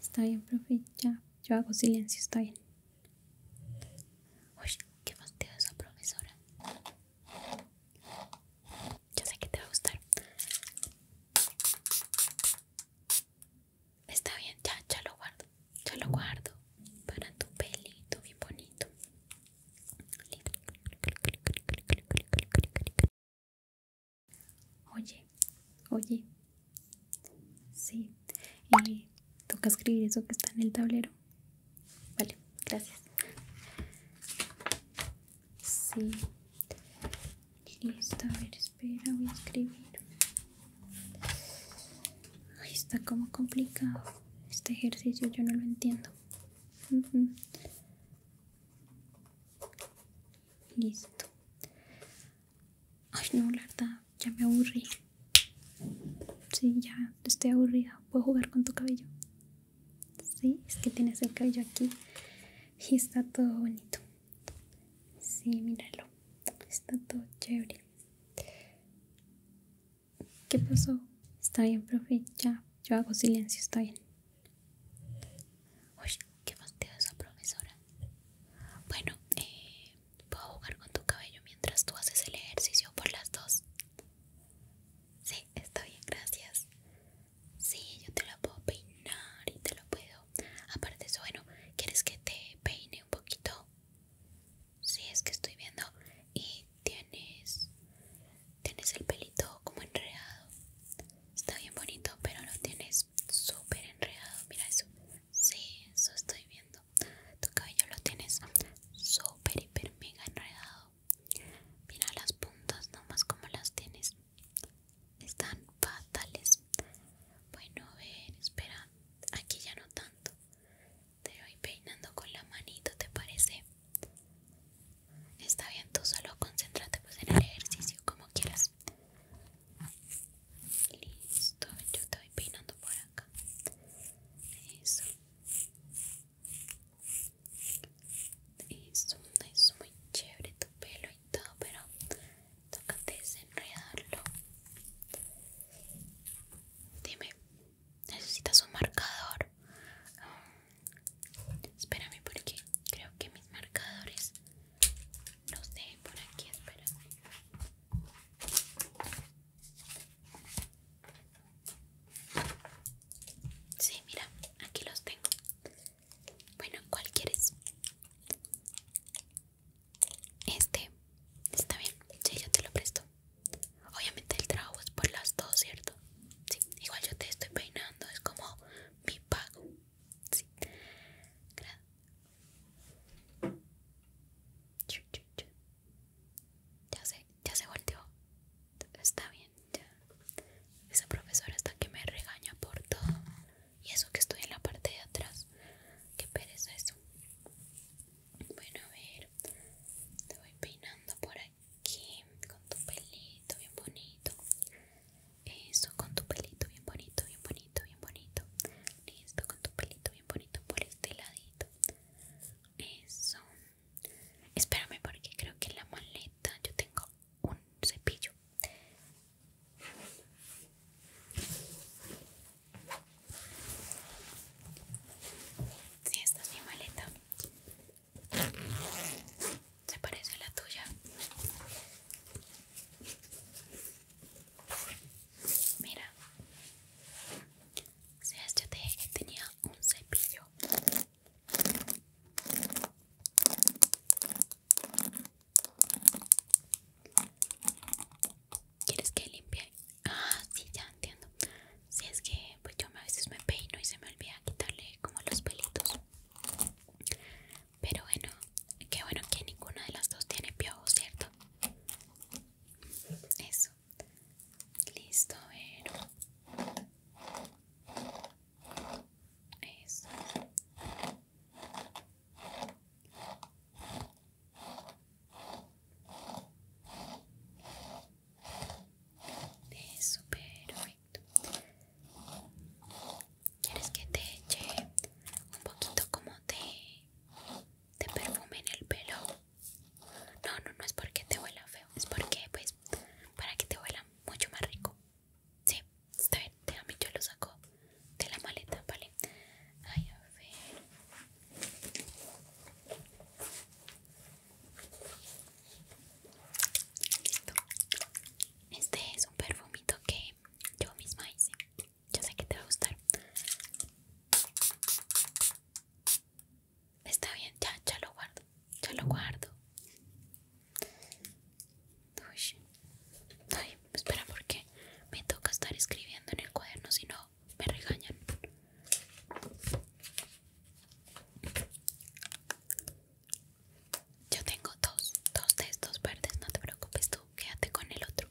Está bien, profe, ya. Yo hago silencio, está bien. Uy, qué fastidio esa profesora. Ya sé que te va a gustar. Está bien, ya, ya lo guardo. Ya lo guardo para tu pelito, bien bonito. Oye, oye, sí, y toca escribir eso que está en el tablero. Vale, gracias. Sí, listo, a ver, espera, voy a escribir. Ay, está como complicado este ejercicio, yo no lo entiendo. Listo. Ay, no, la verdad, ya me aburrí. Sí, ya estoy aburrida. ¿Puedo jugar con tu cabello? Sí, es que tienes el cabello aquí y está todo bonito. Sí, míralo. Está todo chévere. ¿Qué pasó? Está bien, profe. Ya, yo hago silencio, está bien. Qué esa profesora. Bueno, eh, ¿puedo jugar con tu cabello mientras tú haces el ejercicio por las dos? Sí, está bien, gracias. Sí, yo te la puedo peinar y te lo puedo. Aparte eso, bueno, ¿quieres que te peine un poquito? Sí, es que estoy viendo y tienes tienes el pelito como enredado. Está bien bonito, pero lo tienes súper enredado. Mira eso. Sí, eso estoy viendo. Tu cabello lo tienes súper, hiper, mega enredado. Mira las puntas, nomás como las tienes. Están fatales. Bueno, a ver, espera. Aquí ya no tanto. Te voy peinando con la manito, ¿te parece? Está bien, tú solo concéntrate pues en el ejercicio como quieras. Listo, yo te peinando por acá. Eso. Eso, es muy chévere tu pelo y todo, pero toca desenredarlo. Dime, ¿necesitas un marcador? espérame porque creo que mis marcadores los sé, por aquí, espera. Sí, mira, aquí los tengo. Bueno, ¿cuál quieres? Este, está bien, sí, yo te lo presto. Obviamente el trabajo es por las dos, ¿cierto? Sí, igual yo te estoy peinando, es como mi pago. Sí. Ya se, ya se volteó. Está bien, ya. Esa profesora está que me regaña por todo. Y eso que estoy en la parte de atrás. que pereza eso. Bueno, a ver. Te voy peinando por aquí. Con tu pelito bien bonito. Eso, con tu pelito bien bonito, bien bonito, bien bonito. Listo, con tu pelito bien bonito por este ladito. Eso. Espérame porque creo que en la maleta yo tengo un cepillo. Si sí, esta es mi maleta se parece a la tuya. Mira, o sea, te que tenía un cepillo. ¿Quieres que limpie? Ah, sí, ya entiendo. Si es que pues yo a veces me peino y se me olvida quitarle como los pelitos. Pero bueno, qué bueno que ninguna de las dos tiene piojos, ¿cierto? Eso. Listo, a Eso. Eso, perfecto quieres que te eche un poquito como de, perfume en el pelo no no no es porque te huela feo es porque pues para que te huela mucho más rico sí está bien déjame yo lo saco de la maleta vale ay a ver este es un perfumito que yo misma hice. ya sé que te va a gustar. Está bien, ya, ya lo guardo. Ya lo guardo. espera, porque me toca estar escribiendo en el cuaderno, si no me regañan. Yo tengo dos, dos de estos verdes, no te preocupes tú, quédate con el otro.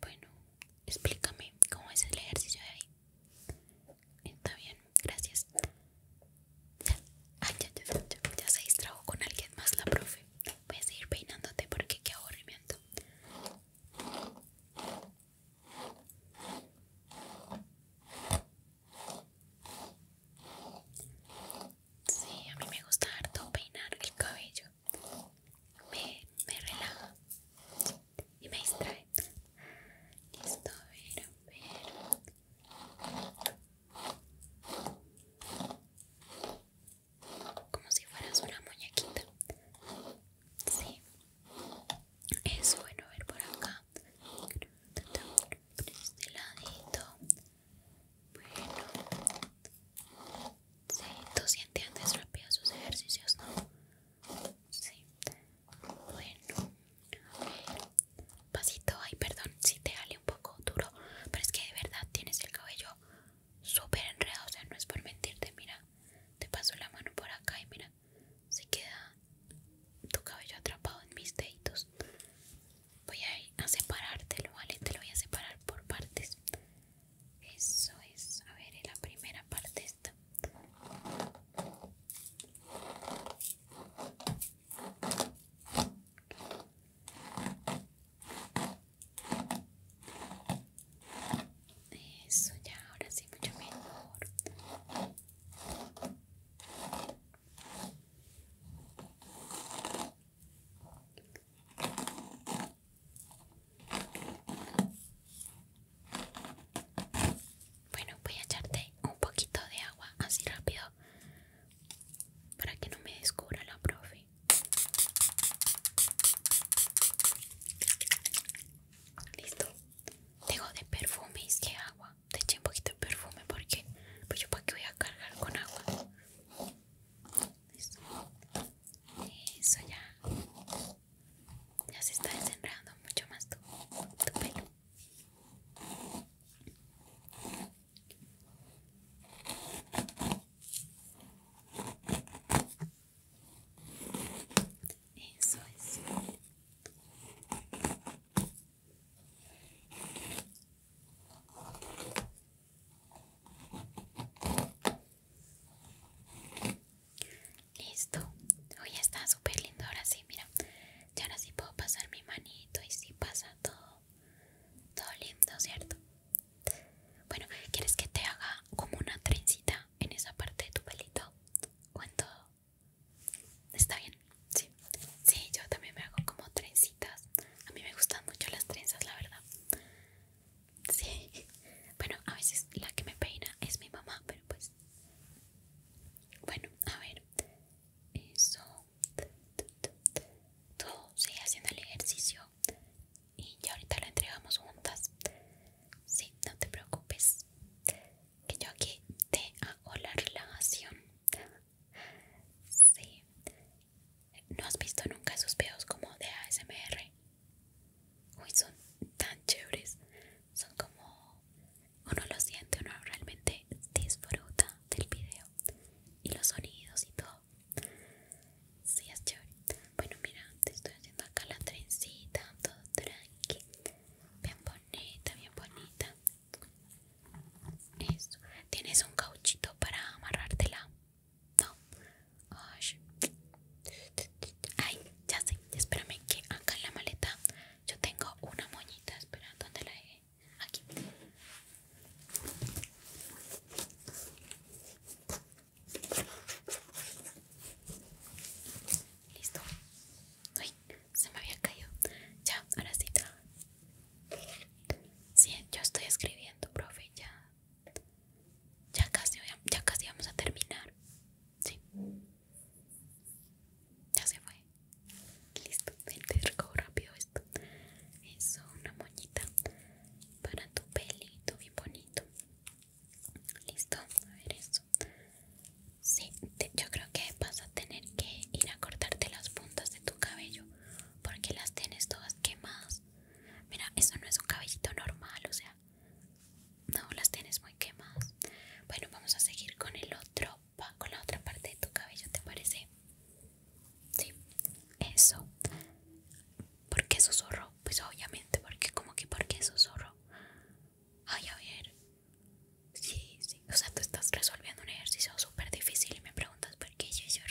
bueno, explícame cómo es el ejercicio de ahí. Está bien, gracias. Ya, ya, ya, ya, se distrajo con alguien más la profe. Voy a seguir peinándote porque qué aburrimiento. Sí, a mí me gusta harto peinar el cabello. Me, relaja y me distrae. Listo, a ver, a ver. Como si fueras una muñequita. Sí. Es bueno, ver por acá por este bueno sí, tú sientes antes rápido sus ejercicios, ¿no? sí bueno pasito, ay perdón si te sale un poco duro pero es que de verdad tienes el cabello súper enredado, o sea no es por mentirte, mira te paso la mano por acá y mira se queda tu cabello atrapado en mis deditos. Voy a ir a separártelo, ¿vale? Te lo voy a separar por partes. Eso es, a ver, en la primera parte está. Eso ya, ahora sí, mucho mejor. Bueno, voy a echarte un poquito de agua así rápido para que no me descubra la profe. Listo. Tengo de perfumes que agua. Te eché un poquito de perfume porque pues yo para qué voy a cargar con agua. Eso. Eso ya. Ya se está desenredando mucho más tu pelo. Eso es. Listo. Hoy está súper lindo. Ahora sí, mira. ya ahora sí puedo pasar mi manito y sí pasa todo. Todo lindo, ¿cierto? Bueno, ¿quieres que te haga como una trencita en esa parte de tu pelito? ¿O en todo? Está bien, sí. Sí, yo también me hago como trencitas. A mí me gustan mucho las trenzas, la verdad. Sí. Bueno, a veces la que me peina es mi mamá, pero pues. Bueno, a ver. Eso. Tú sigue haciendo el ejercicio. Y ya ahorita lo entregamos juntas. Sí, no te preocupes que yo aquí te hago la relajación. Sí. ¿No has visto nunca esos videos como de ASMR? Uy, son tan chéveres. Son como uno lo siente, uno realmente disfruta del video y los sonidos y todo. Sí, es chévere. Bueno, mira, te estoy haciendo acá la trencita, todo tranqui. Bien bonito bonita, bien bonita. Eso. ¿Tienes un cauchito para amarrártela? No. Ay, ya sé. Espérame que acá en la maleta yo tengo una moñita. Espera, ¿dónde la dejé? Aquí. Listo. Uy, se me había caído. Ya, ahora sí. Sí, yo estoy escribiendo, profe. Ya, ya casi, ya casi vamos a terminar. Sí. Ya se fue. Listo, te recojo rápido esto. Eso, una moñita para tu pelito, bien bonito. Listo, a ver eso. Sí, yo creo que vas a tener que ir a cortarte las puntas de tu cabello porque las tienes todas quemadas. Mira, eso no es un cabellito normal, o sea, no las tienes muy quemadas. Bueno, vamos a seguir con el otro, con la otra parte de tu cabello, ¿te parece? Sí, eso. ¿Por qué susurro? Pues obviamente, porque como que porque susurro. Ay, a ver. Sí, sí. O sea, tú estás resolviendo un ejercicio súper difícil y me preguntas por qué yo, yo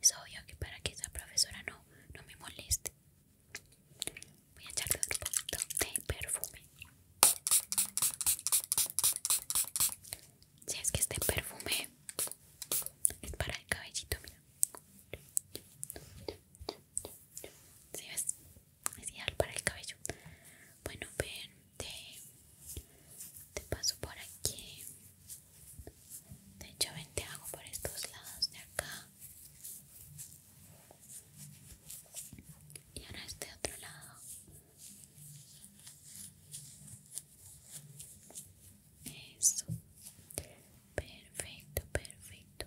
Es obvio que para que esa profesora no, no me moleste. Voy a echarle un poquito de perfume. Si es que este perfume es para el cabellito, mira. ¿Sí ves? es ideal para el cabello bueno ven te, paso por aquí de hecho ven te hago por estos lados de acá y ahora este otro lado eso Perfecto, perfecto.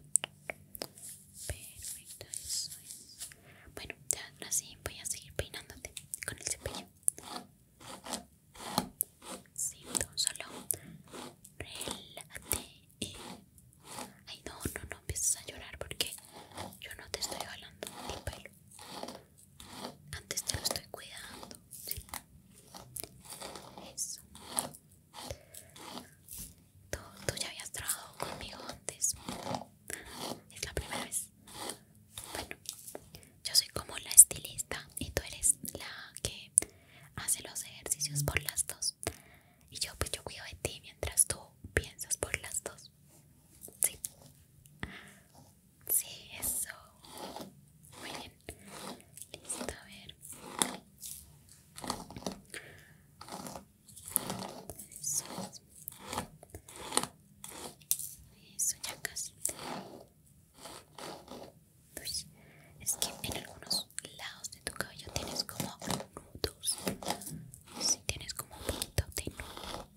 Perfecto, eso es. Bueno, ya así voy a seguir peinándote con el cepillo. Sí, solo Relate Ay, no, no, no empieces a llorar porque yo no te estoy jalando el pelo. Antes te lo estoy cuidando. Sí. Eso. ¿Tú, ya habías trabajado conmigo antes. Es la primera vez. Bueno, yo soy como la estilista y tú eres la que hace los ejercicios por las dos. Y yo pues yo cuido de ti mientras tú piensas por las dos. Sí. Sí, eso. Muy bien. Listo, a ver. Eso, ya casi. Pues, es que en algunos lados de tu cabello tienes como nudos. si tienes como un poquito de nudo.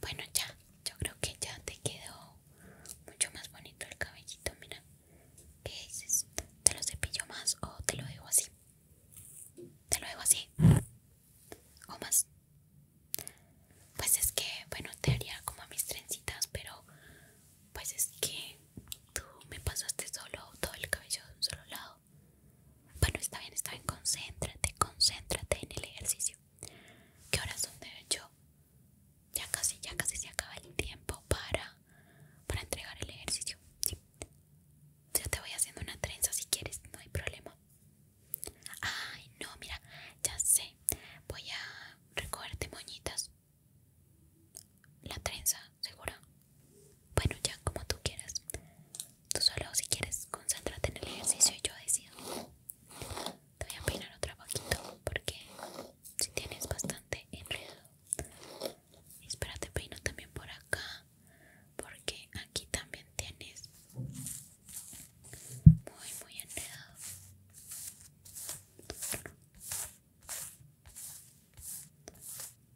Bueno, ya, yo creo que ya te quedó mucho más bonito el cabellito, mira. ¿Qué dices? ¿Te lo cepillo más o te lo dejo así? Te lo dejo así o más pues es que bueno te haría como a mis trencitas pero pues es que tú me pasaste solo todo el cabello de un solo lado bueno está bien está bien concéntrate concéntrate en el ejercicio ¿Qué horas son de hecho? Ya casi, ya casi se acaba el tiempo para, para entregar el ejercicio. Sí. Ya te voy haciendo una trenza si quieres, no hay problema. Ay, no, mira, ya sé. Voy a recogerte moñitas. La trenza, segura. Bueno, ya como tú quieras. Tú solo si quieres, concéntrate en el ejercicio y yo decido. Te voy a peinar otro poquito porque si tienes bastante enredo. Espérate, peino también por acá porque aquí también tienes muy muy enredado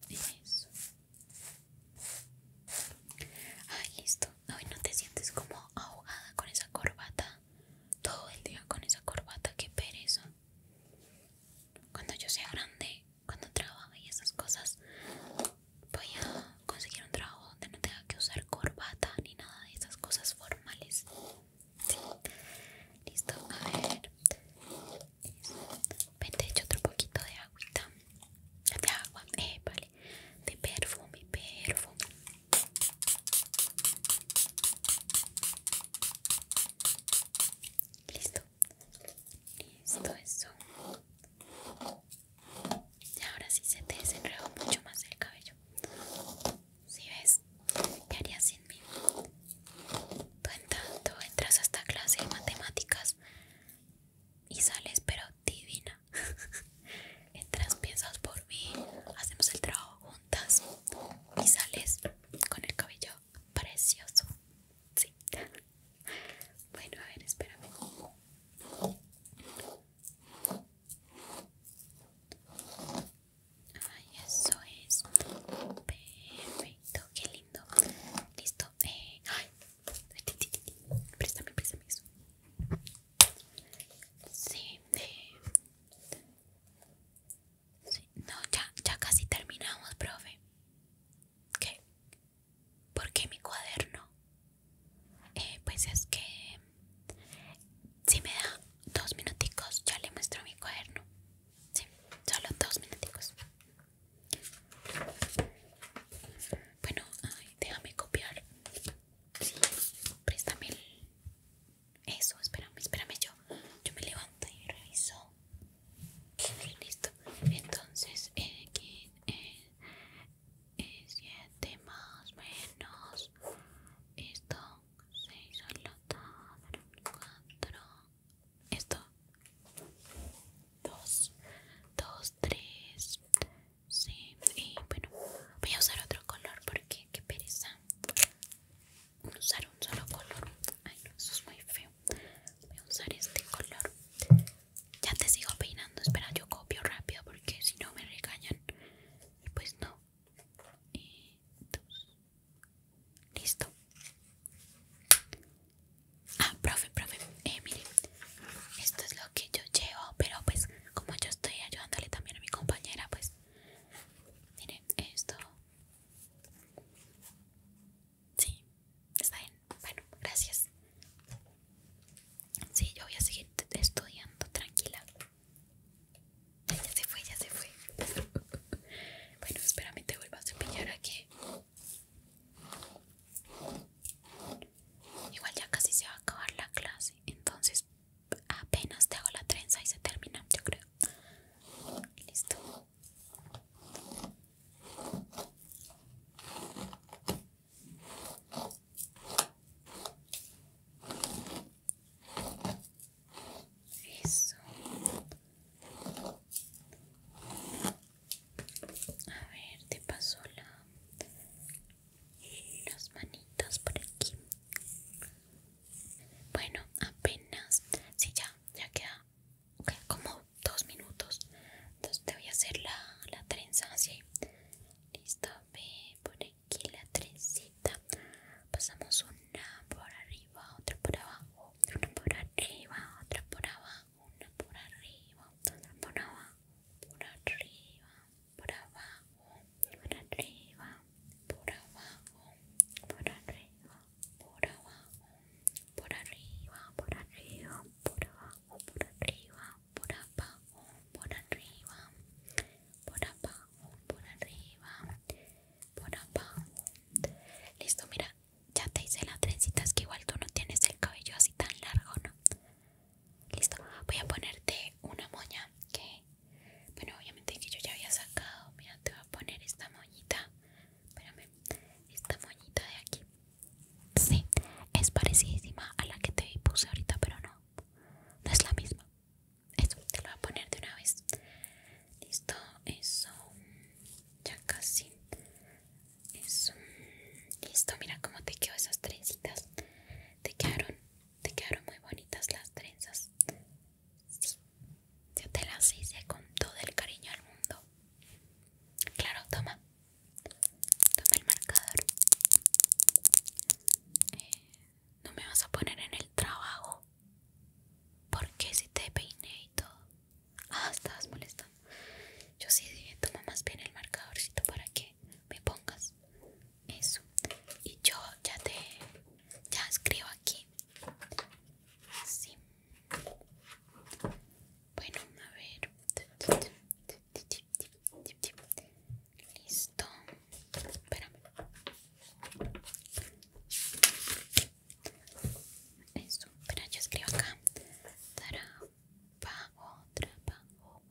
eso ay listo hoy no te sientes como ahogada con esa corbata todo el día con esa corbata que pereza cuando yo sea grande cuando trabaje y esas cosas voy a conseguir un trabajo donde no tenga que usar corbata ni nada de esas cosas formales. Sí. Listo, a ver. Vente, hecho otro poquito de agüita. De agua, eh, vale. De perfume, perfume. Listo. Listo, eso. Y ahora sí se te desenredó mucho más el cabello. Si ves, ¿qué harías sin mí? Tú entras a esta clase de matemáticas y sales, pero divina. entras, piensas por mí, hacemos el trabajo juntas y sales con el cabello precioso. Sí. Bueno, a ver, espérame. Ay, eso es perfecto, qué lindo. Listo. Eh, ay, préstame, préstame Sí, eh. sí, no, ya, ya casi terminamos, profe. ¿Qué? porque mi cuaderno? Eh, pues es que si me da dos minuticos ya le muestro mi cuaderno. Sí, solo dos minuticos. Bueno, déjame copiar. Sí, préstame el... Eso, espérame, espérame yo. Yo me levanto y reviso. Listo. Entonces, eh, aquí, eh, 7 eh, más menos esto 6 al 4 esto 2 2 3 sí y bueno voy a usar otro color porque qué pereza usar un solo color ay no eso es muy feo voy a usar este color ya te sigo peinando, espera, yo copio rápido porque si no me regañan. Pues no. Y Listo. Ah, profe, profe, eh, mire, esto es lo que yo llevo, pero pues como yo estoy ayudándole también a mi compañera, pues miren esto. Sí, Está bien, bueno, gracias. Sí, yo voy a seguir estudiando, tranquila. ya se fue, ya se fue. bueno, espérame, te vuelvo a cepillar aquí. Igual ya casi se va a acabar la clase, entonces apenas te hago la trenza y se termina, yo creo. Listo. Eso. A ver, te paso la, las manitas por aquí. Bueno, apenas. Sí, ya, ya queda. Ok, como dos minutos entonces te voy a hacer la, la trenza así listo ve por aquí la trencita pasamos una por arriba otra por abajo una por arriba otra por abajo una por arriba otra por abajo por arriba por abajo por arriba por abajo por arriba por abajo por arriba por arriba por abajo por arriba, por abajo, por arriba, por abajo, por arriba, por abajo. Listo, mira, ya te hice las trencitas que igual tú no tienes el cabello así tan largo, ¿no? Listo, voy a ponerte una moña que, bueno, obviamente que yo ya había sacado. Mira, te voy a poner esta moñita. Espérame, esta moñita de aquí. Sí, es parecidísima a la que te puse ahorita, pero no, no es la misma. Eso, te lo voy a poner de una vez. Listo, eso. Ya casi. Eso. Listo, mira cómo te quedó esas trencitas. Te quedaron, te quedaron muy bonitas las trenzas. Sí, yo te las hice con todo el cariño al mundo. Claro, toma, Toma el marcador. Eh, no me vas a poner en el trabajo. Porque si te peiné y todo? Ah, estabas molestando. Yo sí tomo toma más bien el marcadorcito para que me pongas eso. Y yo ya te ya escribo aquí. Sí. Bueno, a ver. Listo. espera Eso, espera, yo escribo acá. Trabajo, trabajo.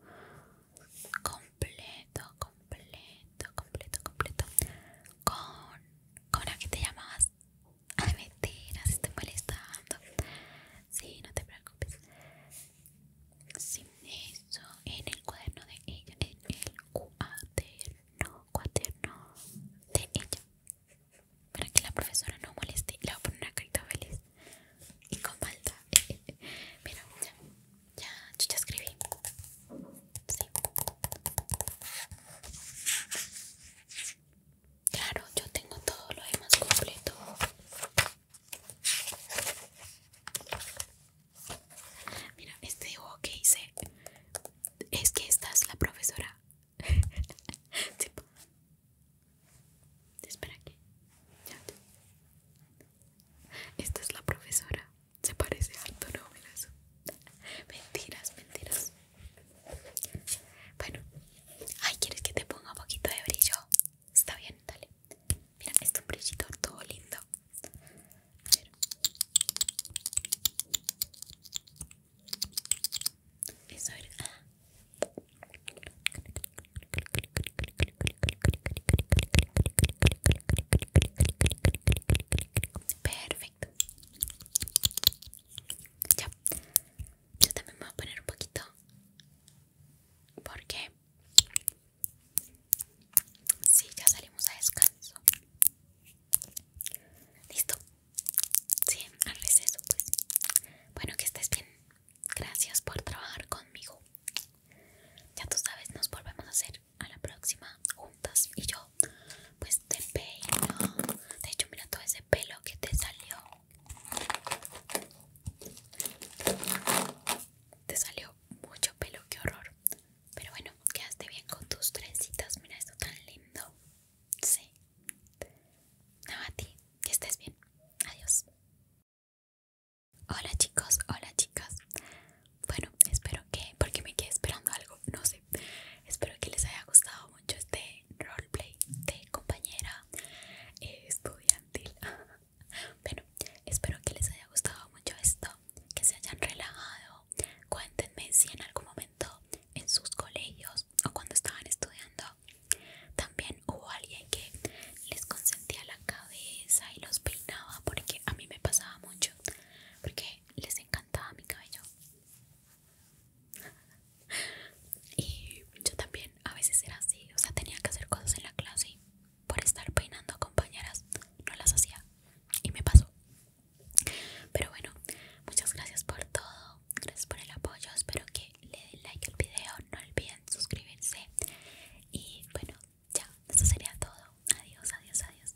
Completo, completo, completo, completo. Con. ¿Con la que te llamabas? Ay, mentira, se estoy molestando. Sí, no te preocupes. Sin eso, en el cuaderno de ella, en el cuaderno, cuaderno de ella. Para que la profesora no moleste, le voy a poner una carita feliz y con Malta. Mira, ya, ya, ya escribí. Sí. Claro, yo tengo todo lo demás completo. Mira, este dibujo que hice es que esta es la profesora. Espera aquí. Esta es la profesora. Se parece harto, no, mira Mentiras, mentiras. Bueno, ay, ¿quieres que te ponga un poquito de brillo? Está bien, dale. Mira, es un brillito todo lindo. A ver. Ah. Perfecto. Ya yo también me voy a poner un poquito porque sí, ya salimos a descanso listo sí al receso pues bueno que estés bien gracias por trabajar conmigo ya tú sabes nos volvemos a hacer a la próxima juntas y yo pues de este peino. De hecho, mira todo ese pelo que te salió. Te salió mucho pelo, qué horror. Pero bueno, quedaste bien con tus trencitas. Mira esto tan lindo. Sí. Nada, a ti. Que estés bien. Adiós. Hola chicos, hola chicas. Bueno, espero que, porque me quedé esperando algo, no sé. Espero que les haya gustado mucho este roleplay de compañera eh, estudiantil. bueno, espero que les haya gustado mucho esto, que se hayan relajado. Cuéntenme si en algún momento en sus colegios o cuando estaban estudiando también hubo alguien que les consentía la cabeza y los peinaba porque a mí me pasaba mucho porque les encantaba mi cabello y yo también a veces era así, o sea, tenía que hacer cosas en la clase y por estar peinando a compañeras no las hacía y me pasó. Pero bueno, muchas gracias por todo, gracias por el apoyo, espero que le den like al video, no olviden suscribirse y bueno, ya, eso sería todo. Adiós, adiós, adiós.